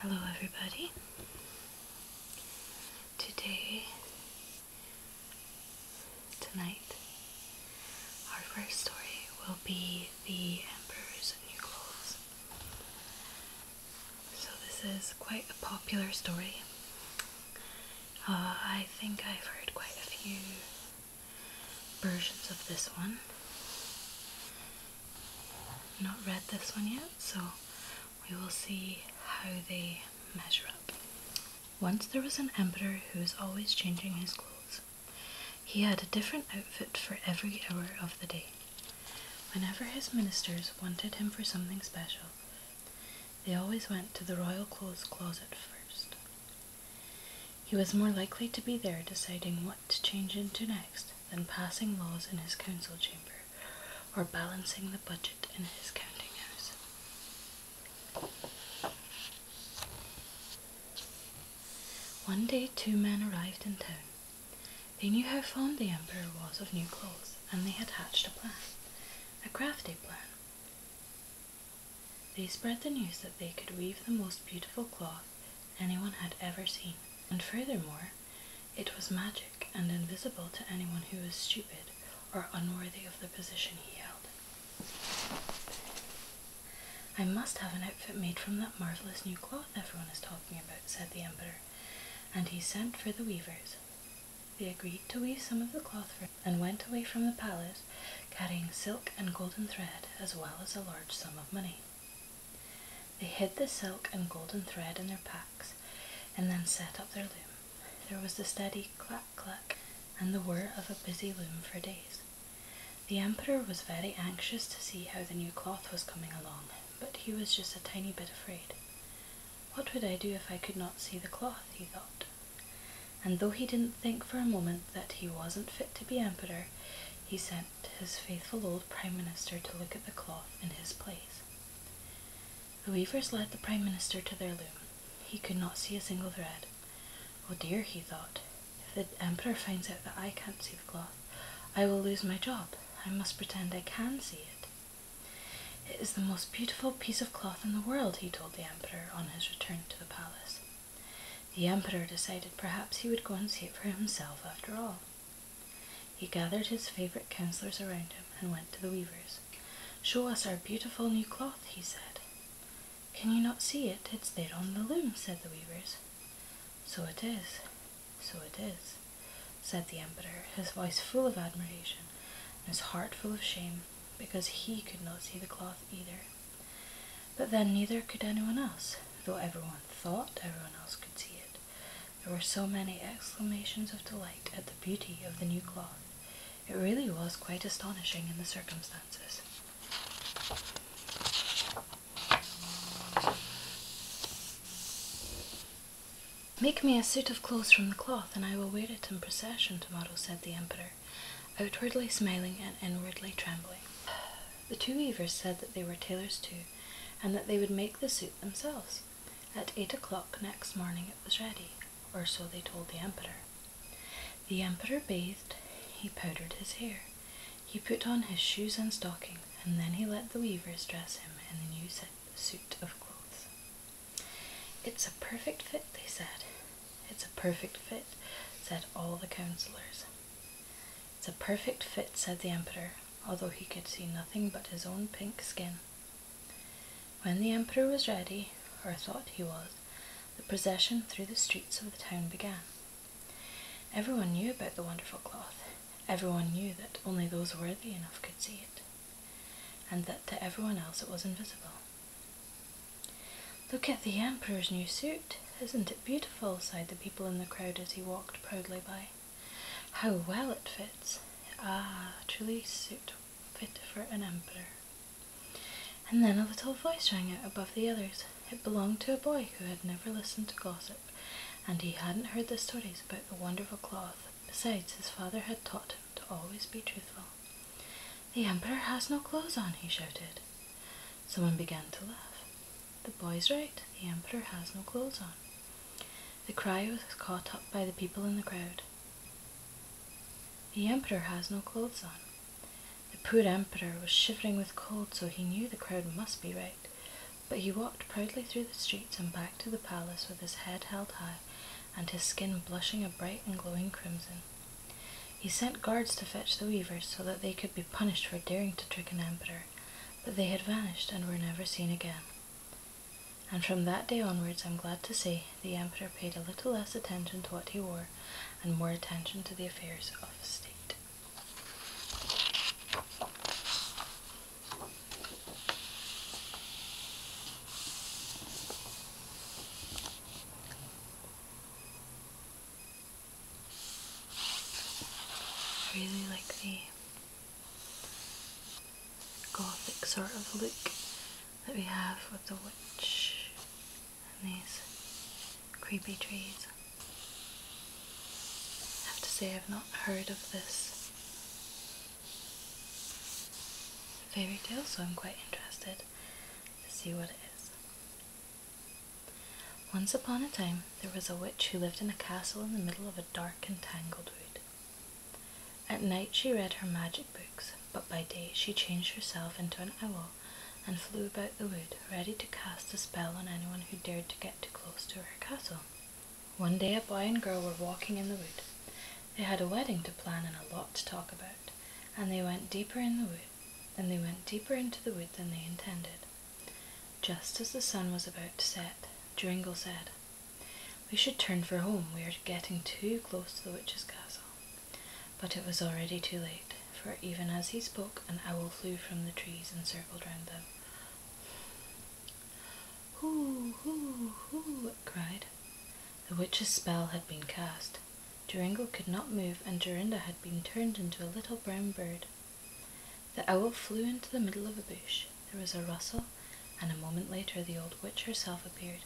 Hello, everybody. Today, tonight, our first story will be The Emperor's New Clothes. So, this is quite a popular story. Uh, I think I've heard quite a few versions of this one not read this one yet, so we will see how they measure up. Once there was an emperor who was always changing his clothes. He had a different outfit for every hour of the day. Whenever his ministers wanted him for something special, they always went to the royal clothes closet first. He was more likely to be there deciding what to change into next than passing laws in his council chamber or balancing the budget in his counting house. One day, two men arrived in town. They knew how fond the emperor was of new clothes, and they had hatched a plan, a crafty plan. They spread the news that they could weave the most beautiful cloth off anyone had ever seen, and furthermore, it was magic and invisible to anyone who was stupid or unworthy of the position he held. I must have an outfit made from that marvellous new cloth everyone is talking about, said the Emperor, and he sent for the weavers. They agreed to weave some of the cloth for him and went away from the palace carrying silk and golden thread as well as a large sum of money. They hid the silk and golden thread in their packs and then set up their loom. There was the steady clack clack and the whir of a busy loom for days. The emperor was very anxious to see how the new cloth was coming along, but he was just a tiny bit afraid. What would I do if I could not see the cloth? he thought. And though he didn't think for a moment that he wasn't fit to be emperor, he sent. To his faithful old prime minister to look at the cloth in his place. The weavers led the prime minister to their loom. He could not see a single thread. Oh dear, he thought, if the emperor finds out that I can't see the cloth, I will lose my job. I must pretend I can see it. It is the most beautiful piece of cloth in the world, he told the emperor on his return to the palace. The emperor decided perhaps he would go and see it for himself after all. He gathered his favourite counsellors around him and went to the weavers. Show us our beautiful new cloth, he said. Can you not see it? It's there on the loom, said the weavers. So it is, so it is, said the emperor, his voice full of admiration and his heart full of shame, because he could not see the cloth either. But then neither could anyone else, though everyone thought everyone else could see it. There were so many exclamations of delight at the beauty of the new cloth. It really was quite astonishing in the circumstances. Make me a suit of clothes from the cloth, and I will wear it in procession tomorrow, said the emperor, outwardly smiling and inwardly trembling. The two weavers said that they were tailors too, and that they would make the suit themselves. At eight o'clock next morning it was ready, or so they told the emperor. The emperor bathed, he powdered his hair, he put on his shoes and stockings, and then he let the weavers dress him in the new suit of clothes. It's a perfect fit, they said. It's a perfect fit, said all the councillors. It's a perfect fit, said the emperor, although he could see nothing but his own pink skin. When the emperor was ready, or thought he was, the procession through the streets of the town began. Everyone knew about the wonderful cloth. Everyone knew that only those worthy enough could see it, and that to everyone else it was invisible. Look at the Emperor's new suit. Isn't it beautiful? sighed the people in the crowd as he walked proudly by. How well it fits. Ah, truly suit fit for an emperor. And then a little voice rang out above the others. It belonged to a boy who had never listened to gossip, and he hadn't heard the stories about the wonderful cloth. Besides, his father had taught him to always be truthful. The emperor has no clothes on, he shouted. Someone began to laugh. The boy's right, the emperor has no clothes on. The cry was caught up by the people in the crowd. The emperor has no clothes on. The poor emperor was shivering with cold, so he knew the crowd must be right. But he walked proudly through the streets and back to the palace with his head held high and his skin blushing a bright and glowing crimson. He sent guards to fetch the weavers so that they could be punished for daring to trick an emperor, but they had vanished and were never seen again. And from that day onwards, I'm glad to say, the emperor paid a little less attention to what he wore and more attention to the affairs of state. I really like the gothic sort of look that we have with the witch and these creepy trees. I have to say I've not heard of this fairy tale so I'm quite interested to see what it is. Once upon a time, there was a witch who lived in a castle in the middle of a dark and tangled wood. At night, she read her magic books, but by day, she changed herself into an owl and flew about the wood, ready to cast a spell on anyone who dared to get too close to her castle. One day, a boy and girl were walking in the wood. They had a wedding to plan and a lot to talk about, and they went deeper in the wood and they went deeper into the wood than they intended. Just as the sun was about to set, Dringle said, We should turn for home, we are getting too close to the witch's castle. But it was already too late, for even as he spoke, an owl flew from the trees and circled round them. Hoo, hoo, hoo, it cried. The witch's spell had been cast, Durango could not move, and Dorinda had been turned into a little brown bird. The owl flew into the middle of a bush. There was a rustle, and a moment later the old witch herself appeared.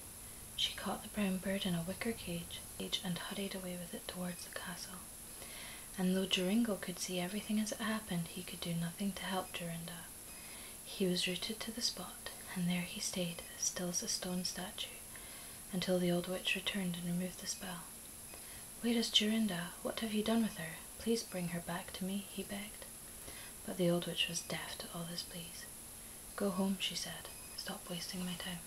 She caught the brown bird in a wicker cage and hurried away with it towards the castle. And though Joringo could see everything as it happened, he could do nothing to help Jorinda. He was rooted to the spot, and there he stayed, still as a stone statue, until the old witch returned and removed the spell. Whereas Jorinda? What have you done with her? Please bring her back to me, he begged. But the old witch was deaf to all his pleas. Go home, she said. Stop wasting my time.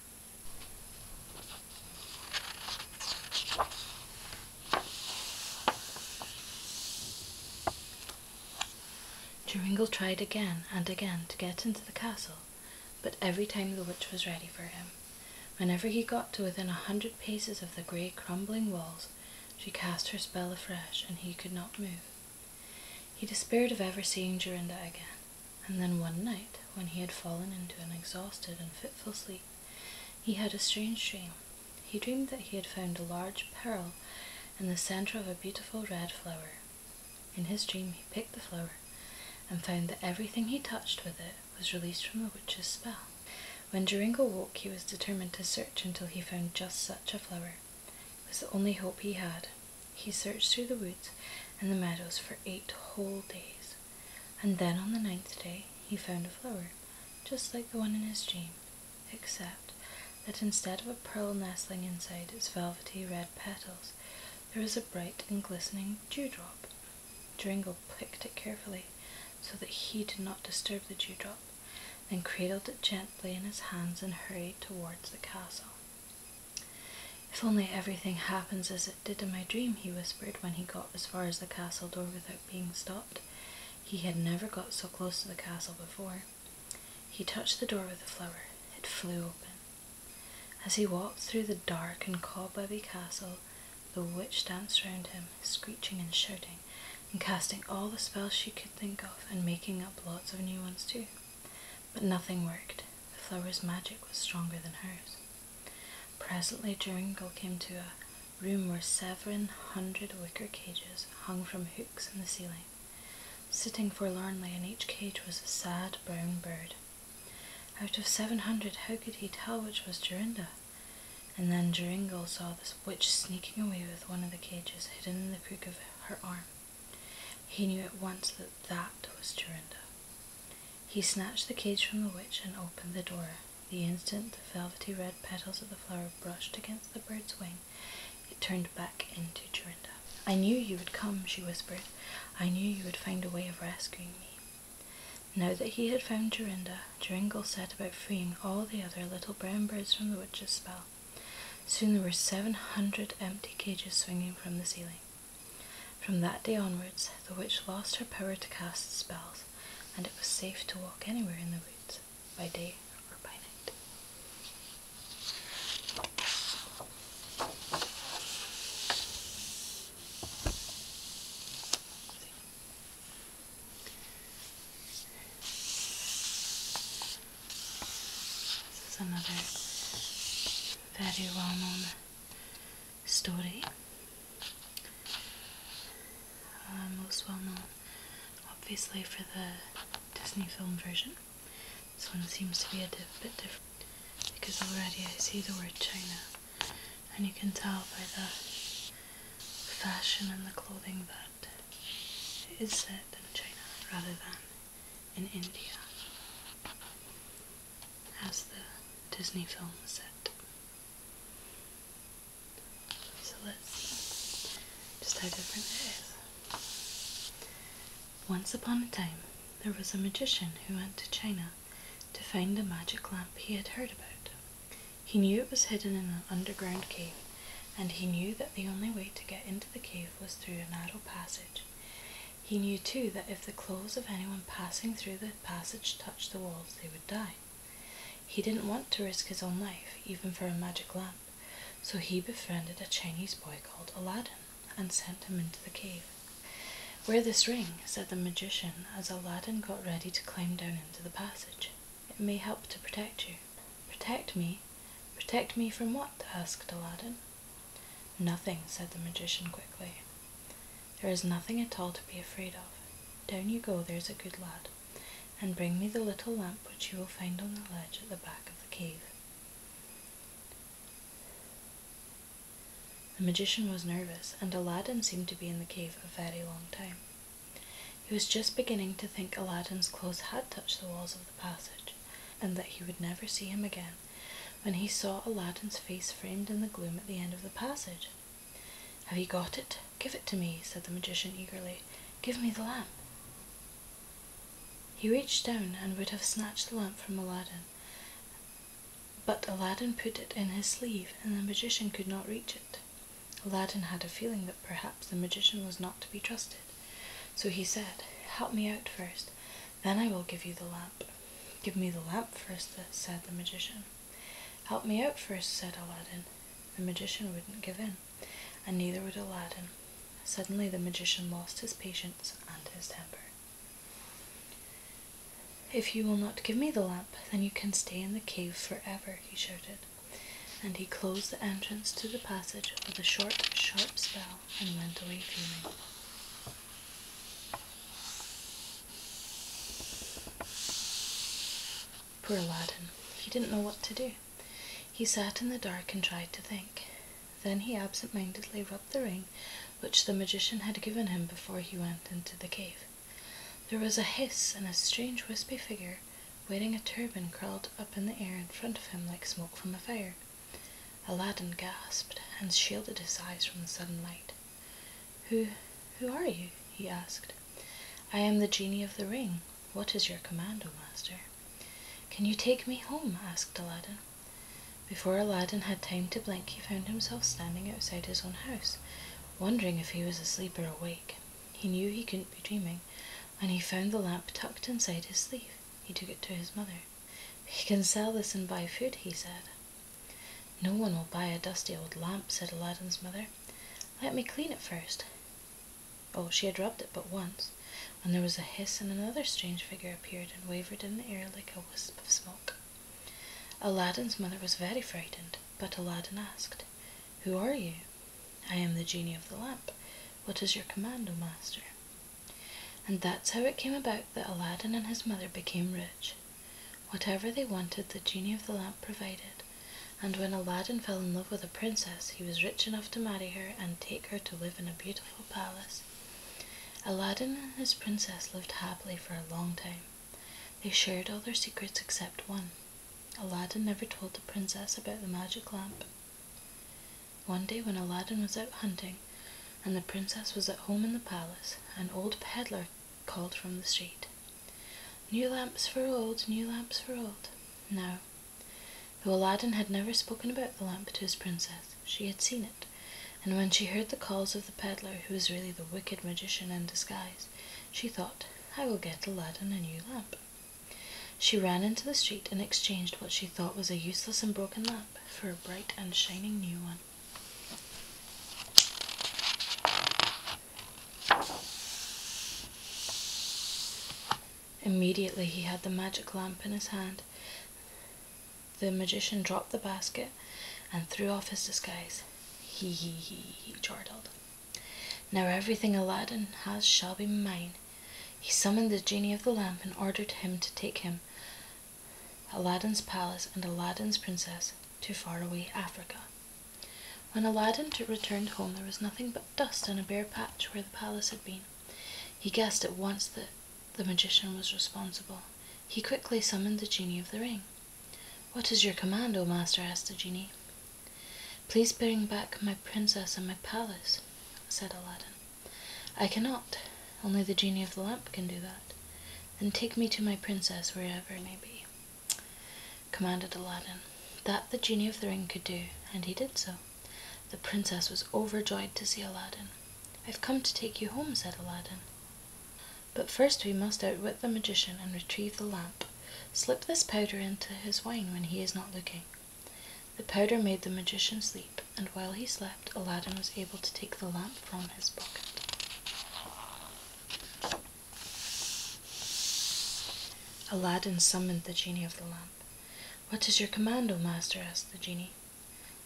Joringel tried again and again to get into the castle, but every time the witch was ready for him, whenever he got to within a hundred paces of the grey crumbling walls, she cast her spell afresh, and he could not move. He despaired of ever seeing Jorinda again, and then one night, when he had fallen into an exhausted and fitful sleep, he had a strange dream. He dreamed that he had found a large pearl in the centre of a beautiful red flower, in his dream, he picked the flower and found that everything he touched with it was released from the witch's spell. When Duringo woke, he was determined to search until he found just such a flower. It was the only hope he had. He searched through the woods and the meadows for eight whole days, and then on the ninth day, he found a flower just like the one in his dream, except that instead of a pearl nestling inside its velvety red petals, there was a bright and glistening dewdrop. Dringle picked it carefully so that he did not disturb the dewdrop, then cradled it gently in his hands and hurried towards the castle. If only everything happens as it did in my dream, he whispered when he got as far as the castle door without being stopped. He had never got so close to the castle before. He touched the door with the flower. It flew open. As he walked through the dark and cobwebby castle, the witch danced round him, screeching and shouting, and casting all the spells she could think of, and making up lots of new ones too. But nothing worked. The flower's magic was stronger than hers. Presently, Joringel came to a room where seven hundred wicker cages hung from hooks in the ceiling. Sitting forlornly in each cage was a sad brown bird, out of seven hundred, how could he tell which was Jorinda? And then Joringel saw the witch sneaking away with one of the cages hidden in the crook of her arm. He knew at once that that was Jorinda. He snatched the cage from the witch and opened the door. The instant the velvety red petals of the flower brushed against the bird's wing, it turned back into Jorinda. I knew you would come, she whispered. I knew you would find a way of rescuing me. Now that he had found Jorinda, Joringel set about freeing all the other little brown birds from the witch's spell. Soon there were 700 empty cages swinging from the ceiling. From that day onwards, the witch lost her power to cast spells, and it was safe to walk anywhere in the woods, by day or by night. This is another very well known story. Uh, most well known, obviously, for the Disney film version. This one seems to be a bit different because already I see the word China and you can tell by the fashion and the clothing that it is set in China rather than in India as the Disney film set. So let's see just how different it is. Once upon a time, there was a magician who went to China to find the magic lamp he had heard about. He knew it was hidden in an underground cave, and he knew that the only way to get into the cave was through a narrow passage. He knew too that if the claws of anyone passing through the passage touched the walls, they would die. He didn't want to risk his own life, even for a magic lamp, so he befriended a Chinese boy called Aladdin and sent him into the cave. Wear this ring, said the magician, as Aladdin got ready to climb down into the passage. It may help to protect you. Protect me? Protect me from what? asked Aladdin. Nothing, said the magician quickly. There is nothing at all to be afraid of. Down you go, there's a good lad, and bring me the little lamp which you will find on the ledge at the back of the cave. The magician was nervous, and Aladdin seemed to be in the cave a very long time. He was just beginning to think Aladdin's clothes had touched the walls of the passage, and that he would never see him again, when he saw Aladdin's face framed in the gloom at the end of the passage. Have you got it? Give it to me, said the magician eagerly. Give me the lamp. He reached down and would have snatched the lamp from Aladdin, but Aladdin put it in his sleeve and the magician could not reach it. Aladdin had a feeling that perhaps the magician was not to be trusted, so he said, Help me out first, then I will give you the lamp. Give me the lamp first, said the magician. Help me out first, said Aladdin. The magician wouldn't give in, and neither would Aladdin. Suddenly the magician lost his patience and his temper. If you will not give me the lamp, then you can stay in the cave for ever," he shouted. And he closed the entrance to the passage with a short, sharp spell and went away fuming. Poor Aladdin. He didn't know what to do. He sat in the dark and tried to think. Then he absent mindedly rubbed the ring which the magician had given him before he went into the cave. There was a hiss, and a strange wispy figure wearing a turban crawled up in the air in front of him like smoke from a fire. Aladdin gasped and shielded his eyes from the sudden light. Who who are you? he asked. I am the genie of the ring. What is your command, O master? Can you take me home? asked Aladdin. Before Aladdin had time to blink, he found himself standing outside his own house, wondering if he was asleep or awake. He knew he couldn't be dreaming, and he found the lamp tucked inside his sleeve. He took it to his mother. We can sell this and buy food, he said. No one will buy a dusty old lamp, said Aladdin's mother. Let me clean it first. Oh, she had rubbed it but once, when there was a hiss and another strange figure appeared and wavered in the air like a wisp of smoke. Aladdin's mother was very frightened, but Aladdin asked, Who are you? I am the genie of the lamp. What is your command, O master? And that's how it came about that Aladdin and his mother became rich. Whatever they wanted, the genie of the lamp provided, and when Aladdin fell in love with a princess, he was rich enough to marry her and take her to live in a beautiful palace. Aladdin and his princess lived happily for a long time. They shared all their secrets except one. Aladdin never told the princess about the magic lamp. One day, when Aladdin was out hunting and the princess was at home in the palace, an old peddler called from the street New lamps for old, new lamps for old. Now, Though Aladdin had never spoken about the lamp to his princess, she had seen it, and when she heard the calls of the peddler, who was really the wicked magician in disguise, she thought, I will get Aladdin a new lamp. She ran into the street and exchanged what she thought was a useless and broken lamp for a bright and shining new one. Immediately he had the magic lamp in his hand. The magician dropped the basket and threw off his disguise. He, he, he, he chortled. Now everything Aladdin has shall be mine. He summoned the genie of the lamp and ordered him to take him, Aladdin's palace, and Aladdin's princess to far away Africa. When Aladdin returned home, there was nothing but dust and a bare patch where the palace had been. He guessed at once that the magician was responsible. He quickly summoned the genie of the ring. What is your command, O master? asked the genie. Please bring back my princess and my palace, said Aladdin. I cannot. Only the genie of the lamp can do that. and take me to my princess wherever it may be, commanded Aladdin. That the genie of the ring could do, and he did so. The princess was overjoyed to see Aladdin. I've come to take you home, said Aladdin. But first we must outwit the magician and retrieve the lamp. Slip this powder into his wine when he is not looking. The powder made the magician sleep, and while he slept, Aladdin was able to take the lamp from his pocket. Aladdin summoned the genie of the lamp. What is your command, O master? asked the genie.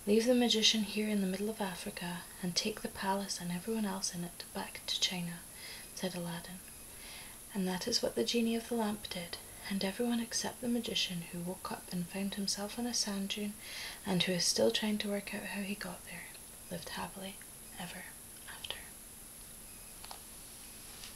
Leave the magician here in the middle of Africa, and take the palace and everyone else in it back to China, said Aladdin. And that is what the genie of the lamp did, and everyone except the magician who woke up and found himself on a sand dune and who is still trying to work out how he got there lived happily ever after.